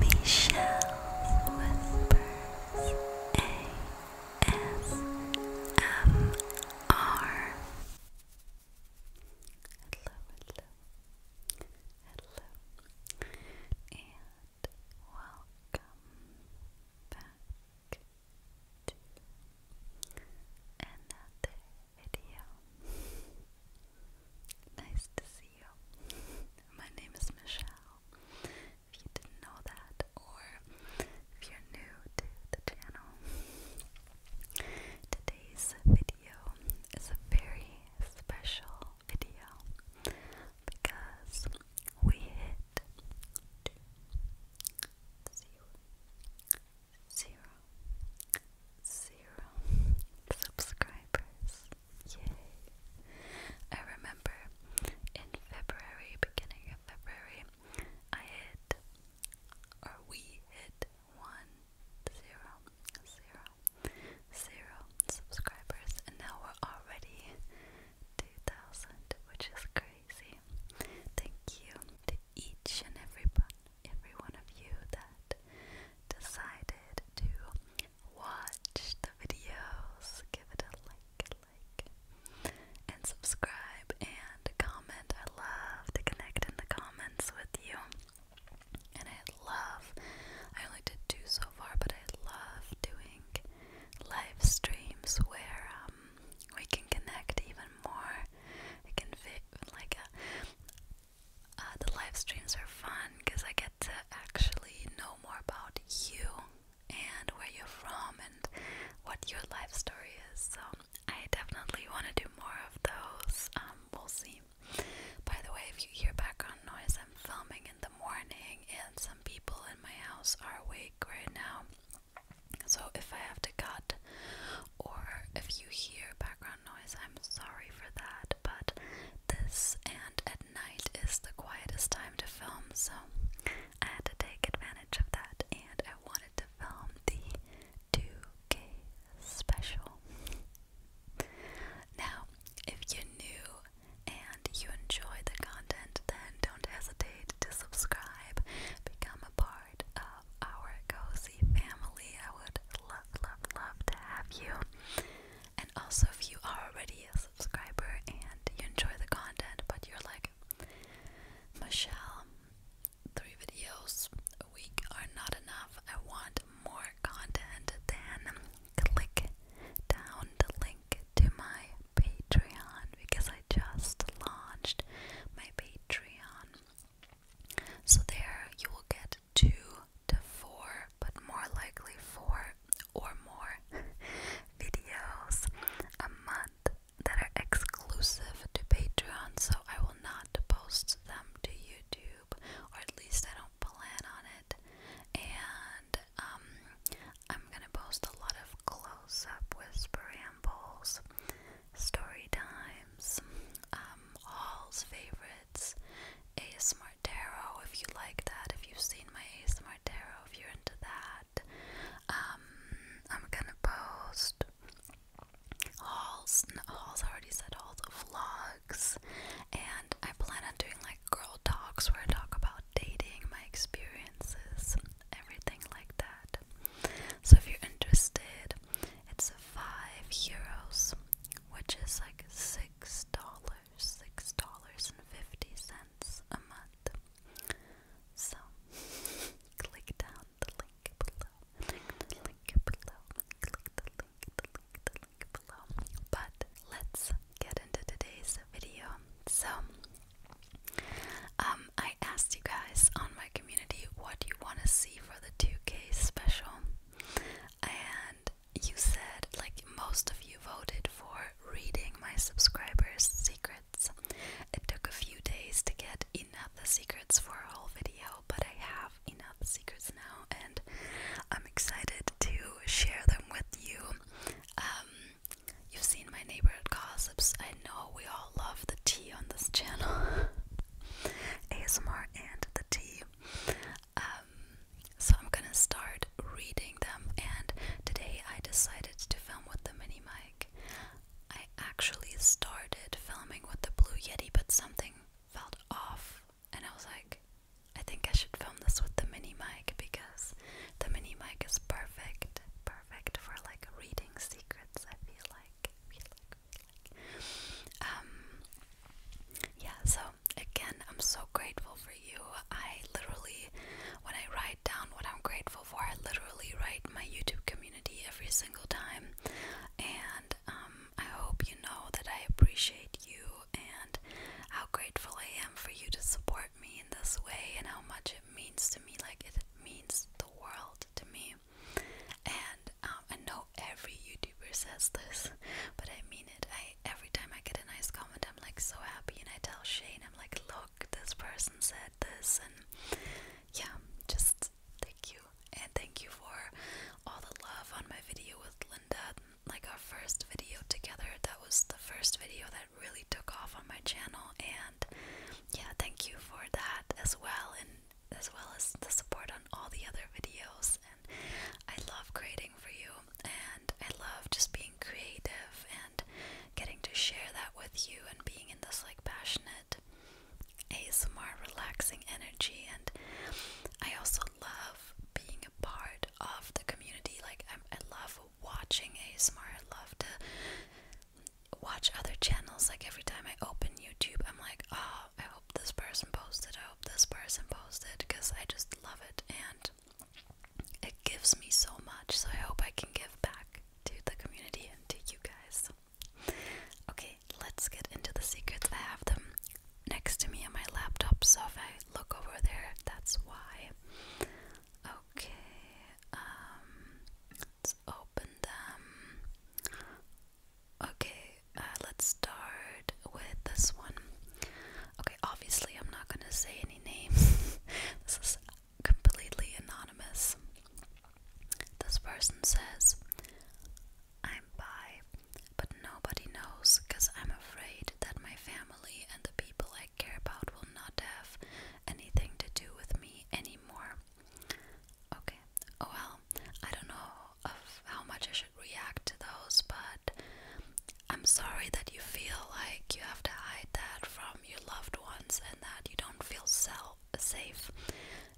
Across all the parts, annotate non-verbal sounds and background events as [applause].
Michelle Whispers ASMR. Hello, hello, hello, and welcome back to another video. Nice to see you. [laughs] My name is Michelle. If you didn't know that, or if you're new to the channel, today's video is a very special video because we hit two, zero, zero, zero zero subscribers. Yay! I remember in February, beginning of February, I hit, or we hit, one, zero, zero, zero subscribers, and now we're already 2,000, which is crazy. Thank you to each and every, every one of you that decided to watch the videos, give it a like, like, and subscribe and comment. I love to connect in the comments with you. And I love, I only did two so far, but I love doing live streams where um, we can connect even more. It can fit like a, uh, uh, the live streams are fun because I get to actually know more about you and where you're from and what your life story is. So I definitely want to do more of those. Um, we'll see. By the way, if you hear background noise, I'm filming in the morning, and some people in my house are awake right now. So if I have to cut, or if you hear background I'm sorry for that, but this and at night is the quietest time to film, so I had to take advantage of that and I wanted to film the 2K special. Now, if you're new and you enjoy the content, then don't hesitate to subscribe, become a part of our cozy family. I would love, love, love to have you. And also, if you are already a subscriber and you enjoy the content, but you're like, Michelle, three videos a week are not enough. I want more content, then click down the link to my Patreon because I just launched my Patreon. So, there you will get two to four, but more likely four or more [laughs] videos a month that are exclusive to Patreon, so I will not post them to YouTube, or at least I don't plan on it. And um, I'm gonna post a lot of close-up whisper rambles, story times, um, all's favorite it's a smart tarot if you like that, if you've seen my a smart tarot, if you're into that. Um, I'm gonna post hauls, hauls, I already said hauls, vlogs, and I plan on doing like girl talks where I talk about dating, my experiences, everything like that. So if you're interested, it's five euros which is like six dollars, six dollars and fifty cents a month. So [laughs] click down the link below. link below. Click the link, the link, the link below. But let's get into today's video. So um I asked you guys on my community what you want to see for the 2K special. And you said, like, most of you voted for reading my subscribers' secrets. It took a few days to get enough secrets for a whole video, but I have enough secrets now, and I'm excited to share them with you. Um, you've seen my neighborhood gossips. I know we all love the tea on this channel. ASMR [laughs] and the tea. Um, so I'm gonna start reading them, and today I decided to film with the mini mic. I actually started filming with the Blue Yeti, but something felt off, and I was like, I think I should film this with the mini mic because the mini mic is perfect, perfect for like reading secrets. I feel like, Um, yeah, so again, I'm so grateful for you. I literally, when I write down what I'm grateful for, I literally write my YouTube community every single time. And um, I hope you know that I appreciate you and how grateful I am for you to support me in this way and how much it means to me. Like, it means the world to me. And um, I know every YouTuber says this, but I mean it. I every time I get a nice comment, I'm like so happy, and I tell Shane, I'm like, look, this person said this, and yeah, just thank you, and thank you for all the love on my video with Linda. Like our first video together, that was the first video that really took off on my channel, and yeah, thank you for that as well, and as well as the support on all the other videos I love creating for you and I love just being creative and getting to share that with you and being in this like passionate ASMR relaxing energy and I also love being a part of the community like i I love watching ASMR I love to watch other channels like every time I open YouTube I'm like oh Oh, I hope this person posted, I hope this person posted, because I just love it and it gives me so much. So I hope I can give back to the community and to you guys. Okay, let's get into the secrets. I have them next to me on my laptop, so if I look over there, that's why. Okay, um, let's open them. Okay, uh, let's start with this one. Okay, obviously, I'm not gonna say any names. [laughs] this is completely anonymous. This person says, I'm bi, but nobody knows because I'm afraid that my family and the people I care about will not have anything to do with me anymore. Okay, well, I don't know of how much I should react to those, but I'm sorry that you feel like you have to hide that from your loved ones and that you don't feel self safe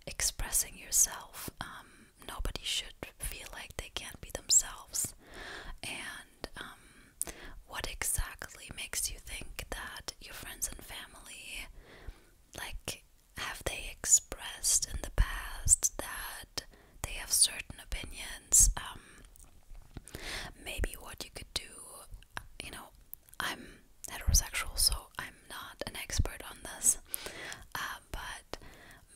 expressing yourself. Um, nobody should feel like they can't be themselves. And um, what exactly makes you think that your friends and family, like, have they expressed in the past that they have certain opinions? Um, maybe what you could do, you know, I'm heterosexual, so I'm not an expert on this, uh, but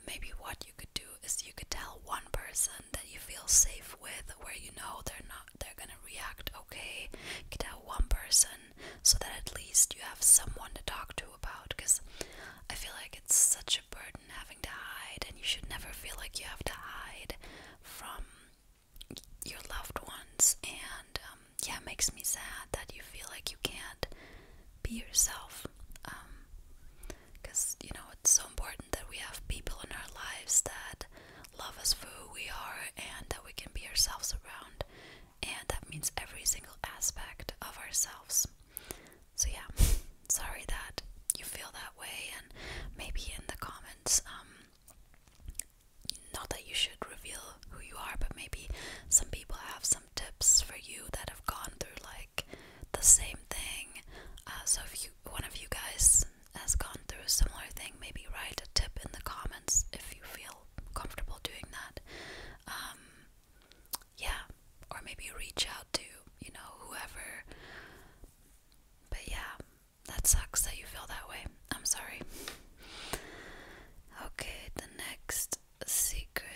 maybe what you could do is you could tell one person that you feel safe with, where you know they're not, they're gonna react okay. get out one person so that at least you have someone to talk to about, because I feel like it's such a burden having to hide, and you should never feel like you have to hide from your loved ones. And um, yeah, it makes me sad that you feel like you can't be yourself. Because, um, you know, it's so important that we have people in our lives that love us for who we are and that we can be ourselves around. And that means every single aspect of ourselves. So yeah, sorry that you feel that way, and maybe in the comments, um, not that you should reveal who you are, but maybe some people have some tips for you that have gone through like the same thing. Uh, so if you, one of you guys has gone through a similar thing, maybe write a tip in the comments if you feel comfortable doing that. Um, yeah, or maybe reach out to, you know, whoever. But yeah, that sucks that you feel that way. I'm sorry. Okay, the next secret.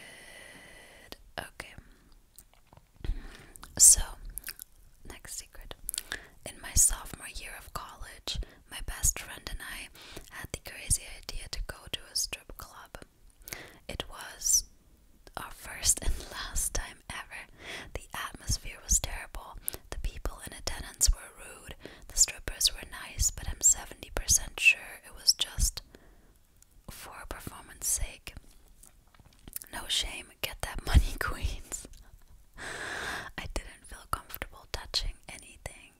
Okay. So, next secret. In my sophomore year of college, my best friend and I had the crazy idea to go to a strip club. It was our first and [laughs] last time ever. The atmosphere was terrible. The people in attendance were rude. The strippers were nice, but I'm 70% sure it was just for performance sake. No shame, get that [laughs] money, Queens. [laughs] I didn't feel comfortable touching anything.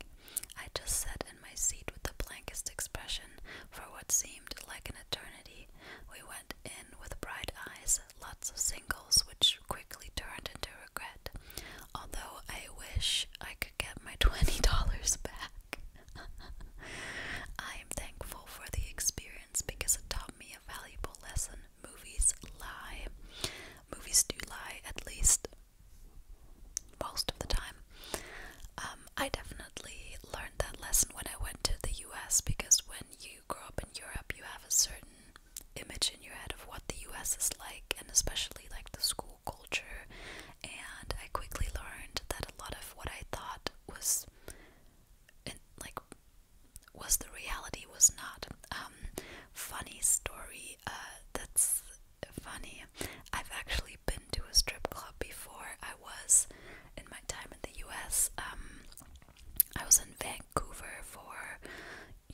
I just sat in my seat with the blankest expression for what seemed like an eternity. We went in with bright eyes, lots of singles, which quickly turned into regret. Although I wish I could get my [laughs] $20 back. [laughs] I am thankful for the experience because it taught me a valuable lesson. Movies lie. Movies do lie, at least most of the time. Um, I definitely learned that lesson when I went to the US because when you grow up in Europe, you have a certain image in your head of what the US is like, and especially like the school culture. And I quickly learned that a lot of what I thought was in, like was the reality was not. Um, funny story uh, that's funny. I've actually actually been to a strip club before. I was in my time in the US. Um, I was in Vancouver for,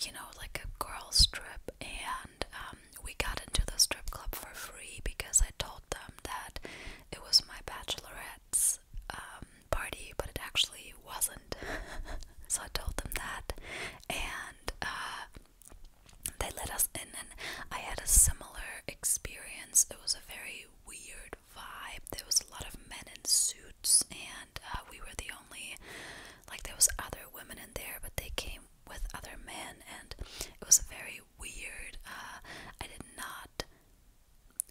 you know, like a girls' trip, and um, we got into the strip club for free because I told them that it was my bachelorette's um, party, but it actually wasn't. [laughs] so I told them that, and uh, they let us in, and I had a similar experience. It was a very weird vibe. There was a lot of men in suits, and uh, we were the only like there was other women in there, but they came with other men, and it was very weird. Uh, I did not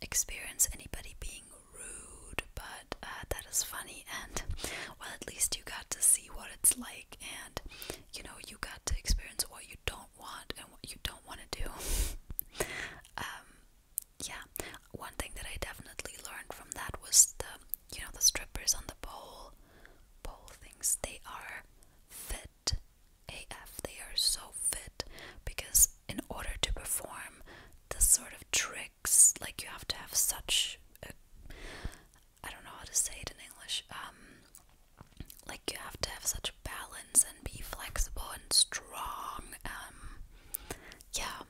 experience anybody being rude, but uh, that is funny. And well, at least you got to see what it's like, and you know, you got to experience what you don't want and what you don't want to do. [laughs] um, yeah, one thing that I definitely learned from that was the you know the strippers on the pole pole things. They are fit AF. They are so fit because in order to perform this sort of tricks, like you have to have such a I don't know how to say it in English. Um, like you have to have such a balance and be flexible and strong. Um, yeah,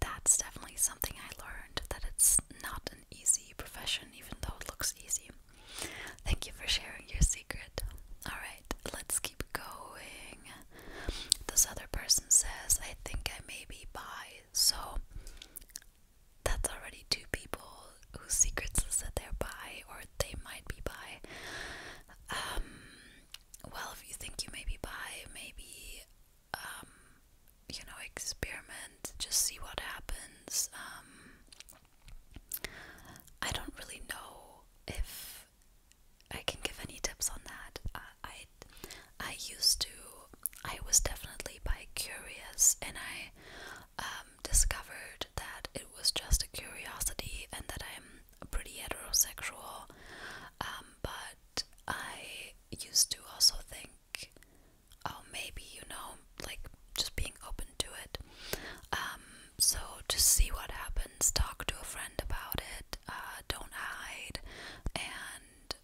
that's definitely something I learned that it's not an easy profession, even though it looks easy. Thank you for sharing your secret. Alright, let's keep going. This other person says, I think I may be bi, so that's already two people whose secrets is that they're bi or they might be bi. Um, well, if you think you may be bi, maybe, um, you know, experiment, just see what happens. Um, I don't really know if I can give any tips on that. I, I used to, I was definitely bi curious and I, uh, um, discovered that it was just a curiosity and that I'm pretty heterosexual. Um, but I used to also think, oh, maybe, you know, like just being open to it. Um, so just see what happens, talk to a friend about it, uh, don't hide. And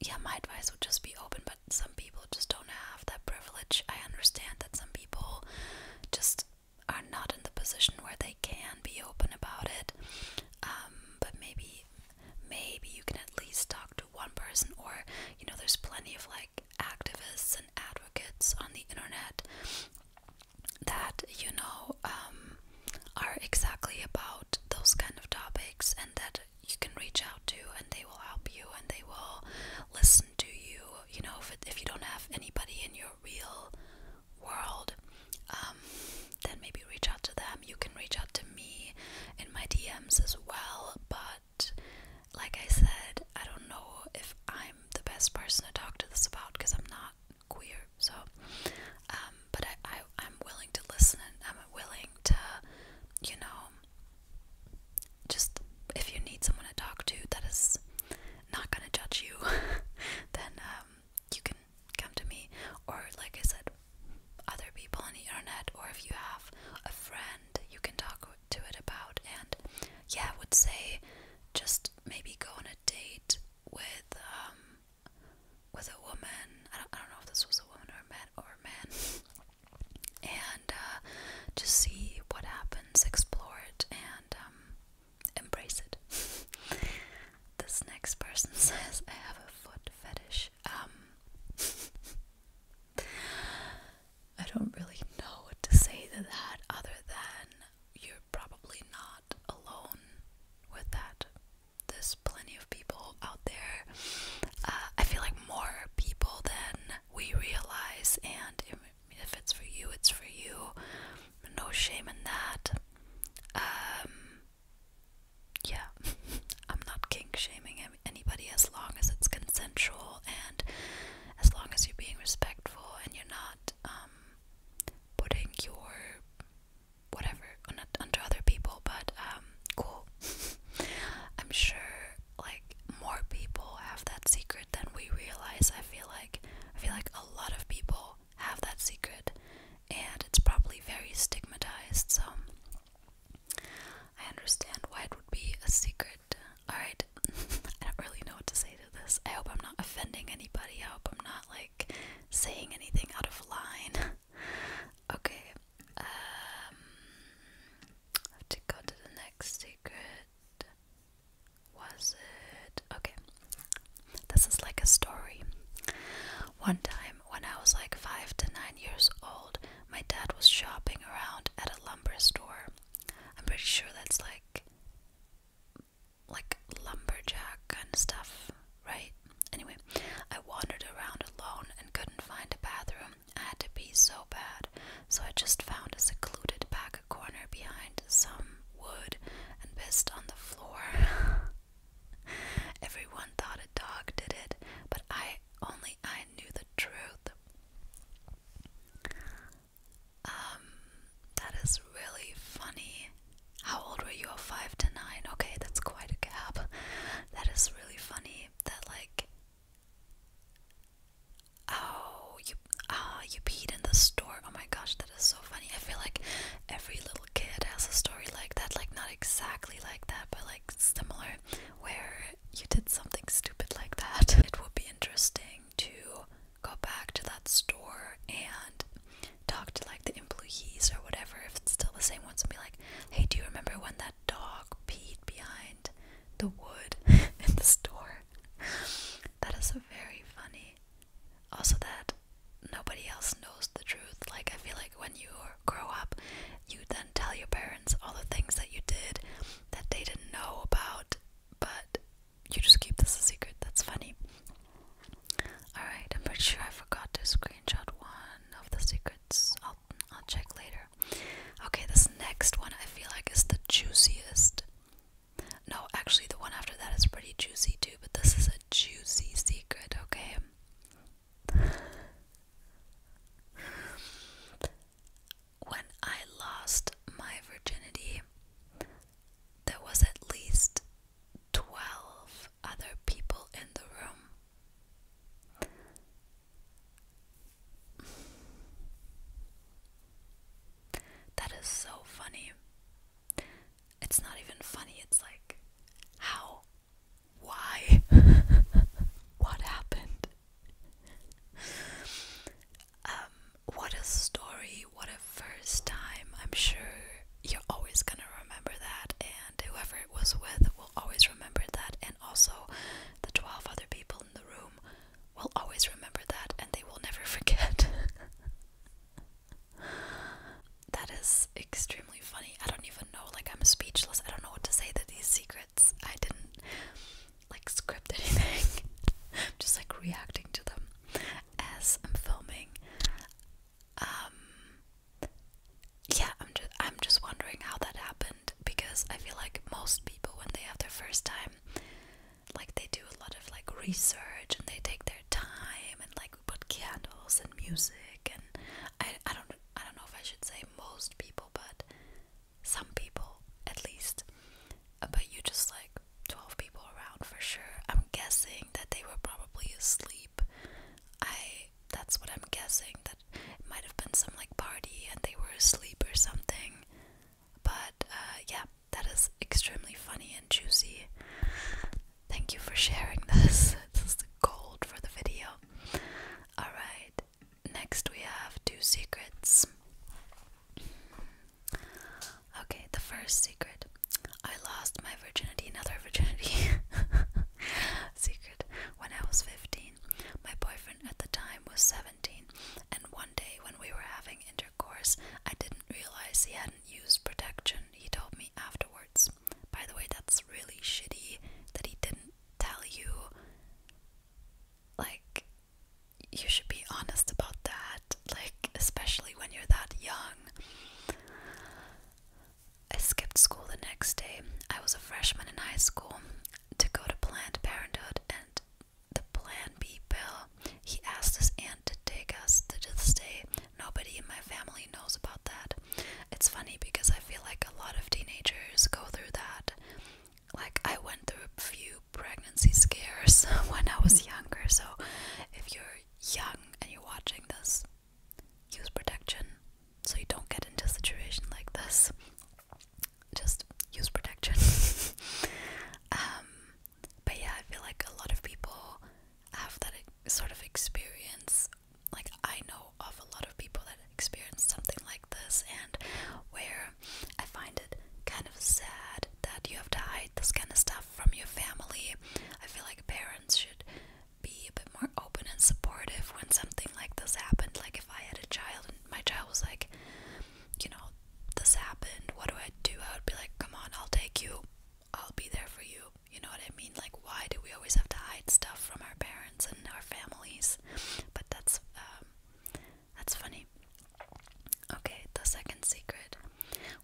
yeah, my advice would just be open some people just don't have that privilege. I understand that some people just are not in the position where they can be open about it. Um, but maybe maybe you can at least talk to one person or you know there's plenty of like activists and advocates on the internet that you know um, are exactly about those kind of topics and that you can reach out to and they will help you and they will listen to you you know if, if you don't have anybody in your real world um, then maybe reach out to them you can reach out to me in my dms as well but like i said i don't know if i'm the best person to talk to this about because i'm not queer so um, but I, I i'm willing to listen and i'm willing to you know just if you need someone to talk to that is not gonna judge you, [laughs] then um, you can come to me or like I said, other people on the internet, or if you have a friend you can talk to it about. And yeah, I would say just maybe go on a date with um with a woman. I don't, I don't know if this was a woman or a man or a man. [laughs] and uh, just see what happens, explore it, and um, embrace it. [laughs] this next person [laughs] says, I have a foot fetish. Um, [laughs] I don't really know what to say to that other than you're probably not alone with that. There's plenty of people out there. Uh, I feel like more people than we realize, and if it's for you, it's for you. No shame in that. Um, yeah, [laughs] I'm not kink shaming anybody as long as it's consensual and as long as you're being respectful and you're not um, putting your whatever onto other people. But um, cool. [laughs] I'm sure like more people have that secret than we realize. I feel like I feel like a lot of people have that secret and it's probably very stigmatized. So I understand why it would be a secret. All right. [laughs] I don't really know what to say to this. I hope I'm not offending anybody. I hope I'm not like saying anything out of line. [laughs] okay. Um, have to go to the next secret. Was it? Okay. This is like a story. One time, when I was like five to nine years old, my dad was shopping around at a lumber store. I'm pretty sure that's like like lumberjack kind of stuff, right? Anyway, I wandered around alone and couldn't find a bathroom, I had to be so bad, so I just found a secluded back corner behind some wood and pissed on the floor. [laughs] Everyone thought a dog did it, but I only I knew the truth. Um, that is really funny. How old were you? Five to nine. Okay, that's quite a gap. That is really funny. That like Oh, you ah, you peed in the store. Oh my gosh, that is so funny. I feel like every little kid has a story like that. Like not exactly like that, but like similar, where you did something stupid like that. [laughs] It would be interesting to go back to that store and talk to like the employees or whatever if it's still the same ones and be like, hey, do you remember when that dog peed behind the wood [laughs] in the store. That is very funny. Also, that nobody else knows the truth. Like, I feel like when you grow up, you then tell your parents all the things that you did that they didn't know about, but you just keep this a secret. That's funny. Alright, I'm pretty sure I forgot to screenshot one of the secrets. I'll, I'll check later. Okay, this next one I feel like is the juiciest. No, actually, the one after that is pretty juicy too, but this is a juicy secret, okay? when I lost my virginity, there was at least 12 other people in the room. That is so funny. It's not even funny, it's like, how? Why? [laughs] what happened? Um, what a story, what a first time. I'm sure you're always gonna remember that, and whoever it was with will always remember that, and also the 12 other people in the room will always remember that and they will never [laughs] forget. that is extremely funny. I don't even know, like, I'm speechless. I don't know what to say That these secrets. I didn't, like, script [laughs] anything. I'm just, like, reacting to them as I'm filming. Um, yeah, I'm just, I'm just wondering how that happened because I feel like most people when they have their first time like they do a lot of like research and they take their time and like put candles and music and I I don't I don't know if I should say most people but some people at least uh, but you just like 12 people around for sure. I'm guessing that they were probably asleep. I that's what I'm guessing that it might have been some like party and they were asleep or something. But uh, yeah, that is extremely funny and juicy. Thank you for sharing [laughs] this. This is gold for the video. Alright, next we have two secrets. Okay, the first secret. I lost my virginity, another virginity [laughs] secret, when I was 15. My boyfriend at the time was 17, and one day when we were having intercourse, I didn't realize he hadn't used protection, he told me afterwards. By the way, that's really shitty that he didn't tell you. Like, you should be honest about that, like, especially when you're that young. I skipped school the next day. I was a freshman in high school to go to Planned Parenthood and the Plan B pill. He asked his aunt to take us to this day. Nobody in my family knows about that. It's funny because I feel like a lot of teenagers go through that. Like, I went through a few pregnancy scares [laughs] when I was younger, so if you're young and you're watching this, use protection so you don't get into a situation like this just use protection. [laughs] Um, but yeah, I feel like a lot of people have that sort of experience. Like, I know of a lot of people that experience something like this, and where I find it kind of sad that you have to hide this kind of stuff from your family. I feel like parents should be a bit more open and supportive when something like this happens. Like, if I had a child and my child was like, you know, this happened, what do I do? I would be like, come on, I'll take you. I'll be there for you. You know what I mean? Like, why do we always have to hide stuff from our parents and our families? But that's um, that's funny. Okay, the second secret.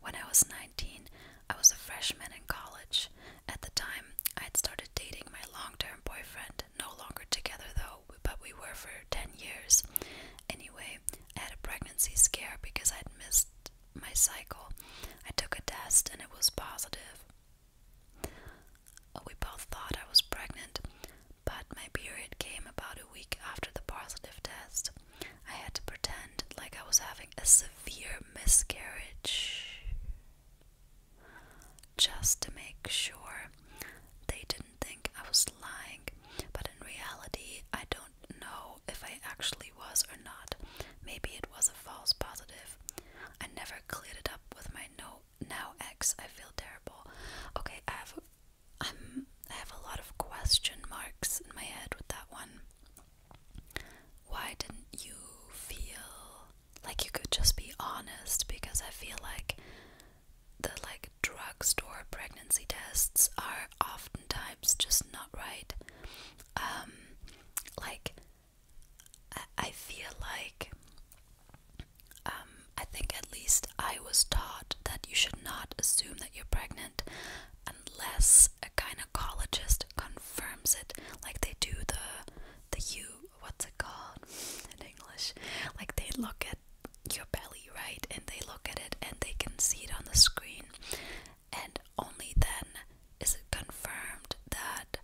When I was 19, I was a freshman in college. At the time, I had started dating my long-term boyfriend, no longer together though, but we were for 10 years. Anyway, I had a pregnancy scare because I'd missed my cycle. I took a test and it was positive. We both thought I was pregnant, but my period came about a week after the positive test. I had to pretend like I was having a severe miscarriage just to make sure they didn't think I was lying. But in reality, I don't know if I actually was or not. Maybe it was a false positive. I never cleared it up with my note. now X, I feel terrible. Okay, I have i I have a lot of question marks in my head with that one. Why didn't you feel like you could just be honest because I feel like the like drugstore pregnancy tests are oftentimes just not right. Um, like I, feel like um, I think at least I was taught that you should not assume that you're pregnant unless a gynecologist confirms it. Like they do the the you what's it called in English? Like they look at your belly, right? And they look at it and they can see it on the screen. And only then is it confirmed that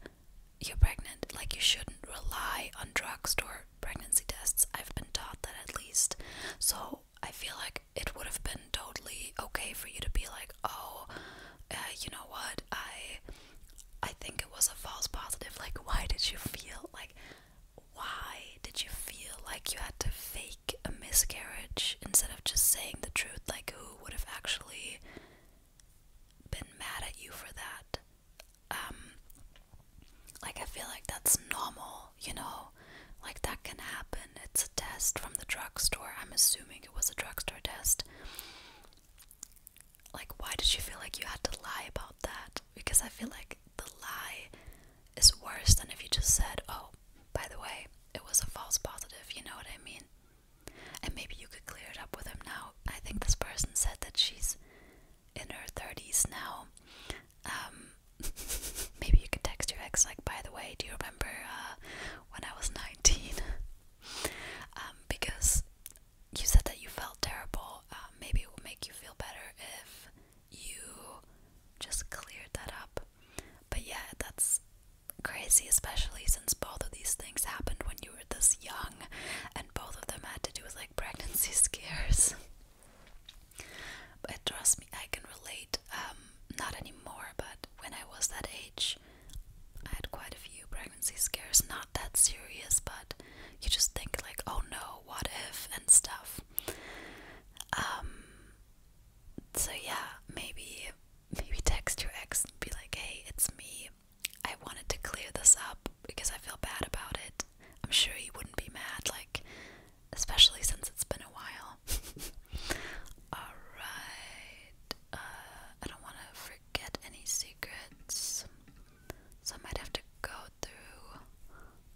you're pregnant. Like you shouldn't rely on drugstore pregnancy tests. I've been taught that at least. So I feel like it would have been totally okay for you to be like, oh, uh, you know what? I I think it was a false positive. Like, why did you feel like, why did you feel like you had to fake a miscarriage instead of just saying the truth? Like, who would have actually been mad at you for that? Um, like, I feel like that's normal, you know? Like, that can happen. It's a test from the drugstore. I'm assuming it was a drugstore test like why did you feel like you had to lie about that? Because I feel like the lie is worse than if you just said, "Oh, by the way, it was a false positive." You know what I mean? And maybe you could clear it up with him now. I think this person said that she's in her 30s now. Um, [laughs] maybe you could text your ex like, "By the way, do you remember uh, when I was 19?" [laughs] Um, because you said that you felt terrible. Um, maybe it would make you feel better if you just cleared that up. But yeah, that's crazy, especially since both of these things happened when you were this young, and both of them had to do with like pregnancy [laughs] scares. but trust me, I can relate. Um, not anymore, but when I was that age, I had quite a few pregnancy scares. Not that serious, but you just think like, oh no, what if and stuff. Um, so yeah, maybe maybe text your ex and be like, hey, it's me. I wanted to clear this up because I feel bad about it. I'm sure you wouldn't be mad, like especially since it's been a while. [laughs] Alright. Uh, I don't wanna forget any secrets. So I might have to go through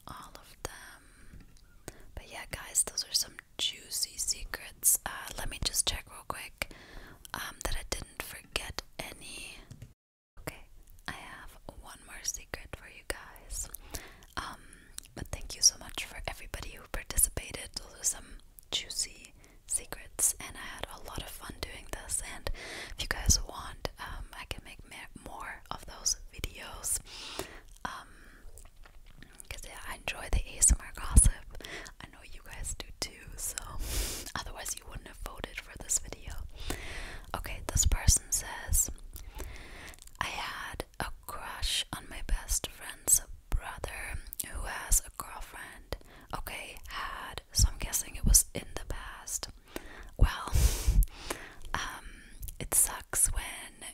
all of them. But yeah, guys, those are some juicy secrets. Uh, let me just check real quick um, that I didn't forget any. Okay, I have one more secret for you guys. Um, but thank you so much for everybody who participated. to are some juicy secrets, and I had a lot of fun doing this. And if you guys want, um, I can make more of those videos. Because um, I enjoy the ASMR gossip. I know you guys do too, so [laughs] otherwise, you wouldn't have voted for this video. Okay, this person says, I had a crush on my best friend's brother who has a girlfriend. Okay, had. So I'm guessing it was in the past. Well, [laughs] um, it sucks when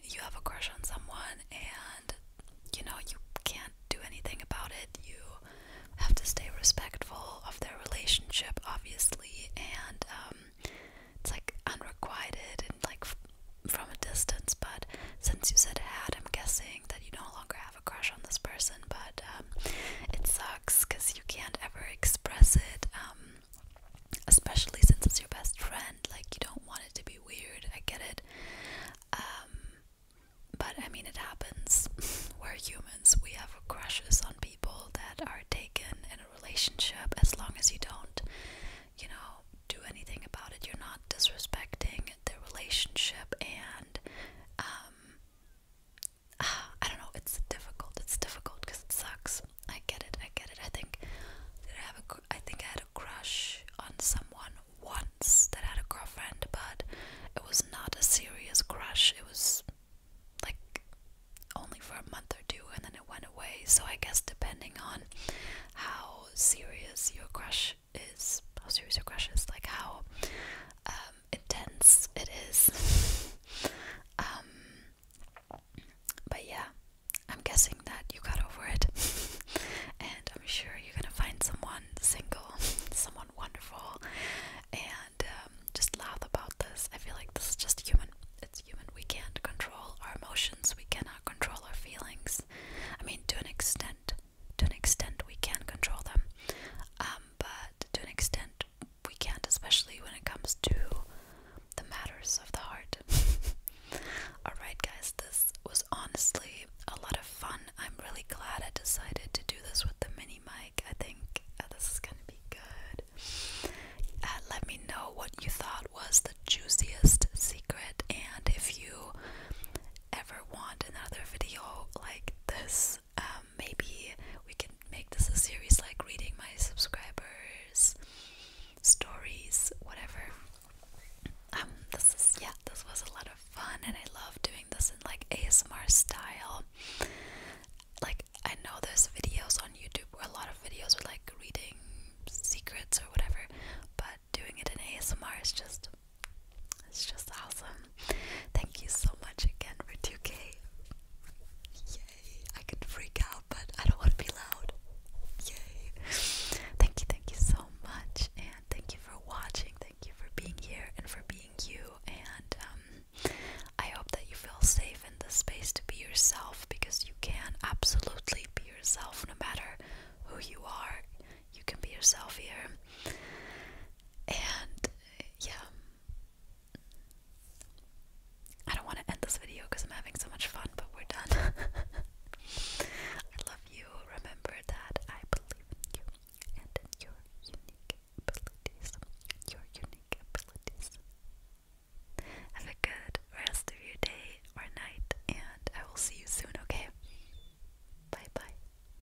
you have a crush on someone and you know you can't do anything about it. You have to stay respectful of their relationship, obviously, and um, it's like unrequited and like from a distance. But since you said had, I'm guessing that you no longer have a crush on this person, but um, it sucks because you can't ever express it, um, especially since it's your best friend. Like, you don't want it to be weird. I get it. Um, but I mean, it happens. [laughs] We're humans, we have crushes on people that are taken in a relationship as long as you don't, you know, do anything about it. You're not disrespecting the relationship and, [sighs] I don't know, it's difficult. It's difficult because it sucks. I get it. I get it. I think did I have a I think I had a crush on someone once that had a girlfriend, but it was not a serious crush. It was like only for a month or two and then it went away. So I guess depending on how serious your crush is, how serious your crush is, like how um, intense it is. [laughs] Um, but yeah, I'm guessing that you got over it, [laughs] and I'm sure you're gonna find someone single, [laughs] someone wonderful, and um, just laugh about this. I feel like this is just human. It's human. We can't control our emotions. We cannot control our feelings. I mean, to an extent, to an extent we can control them, um, but to an extent we can't, especially when it comes to the matters of the heart. [laughs] Alright, guys, this was honestly a lot of fun. I'm really glad I decided to do this with the mini mic. I think uh, this is gonna be good. Uh, let me know what you thought was the juiciest secret, and if you ever want another video like this, um, maybe we can make this a series like reading my subscribers stories whatever um this is yeah this was a lot of fun and I love doing this in like ASMR style like I know there's videos on YouTube where a lot of videos are like reading secrets or whatever but doing it in ASMR is just it's just awesome. Thank you so much again for 2K. Yay. I can freak out, but I don't want to be loud. Yay. Thank you, thank you so much. And thank you for watching. Thank you for being here and for being you. And um, I hope that you feel safe in this space to be yourself because you can absolutely be yourself no matter who you are. You can be yourself here. And yeah, I don't want to end this video because I'm having so much fun, but we're done. [laughs] I love you. Remember that I believe in you and your unique abilities. Your unique abilities. Have a good rest of your day or night, and I will see you soon, okay? Bye bye.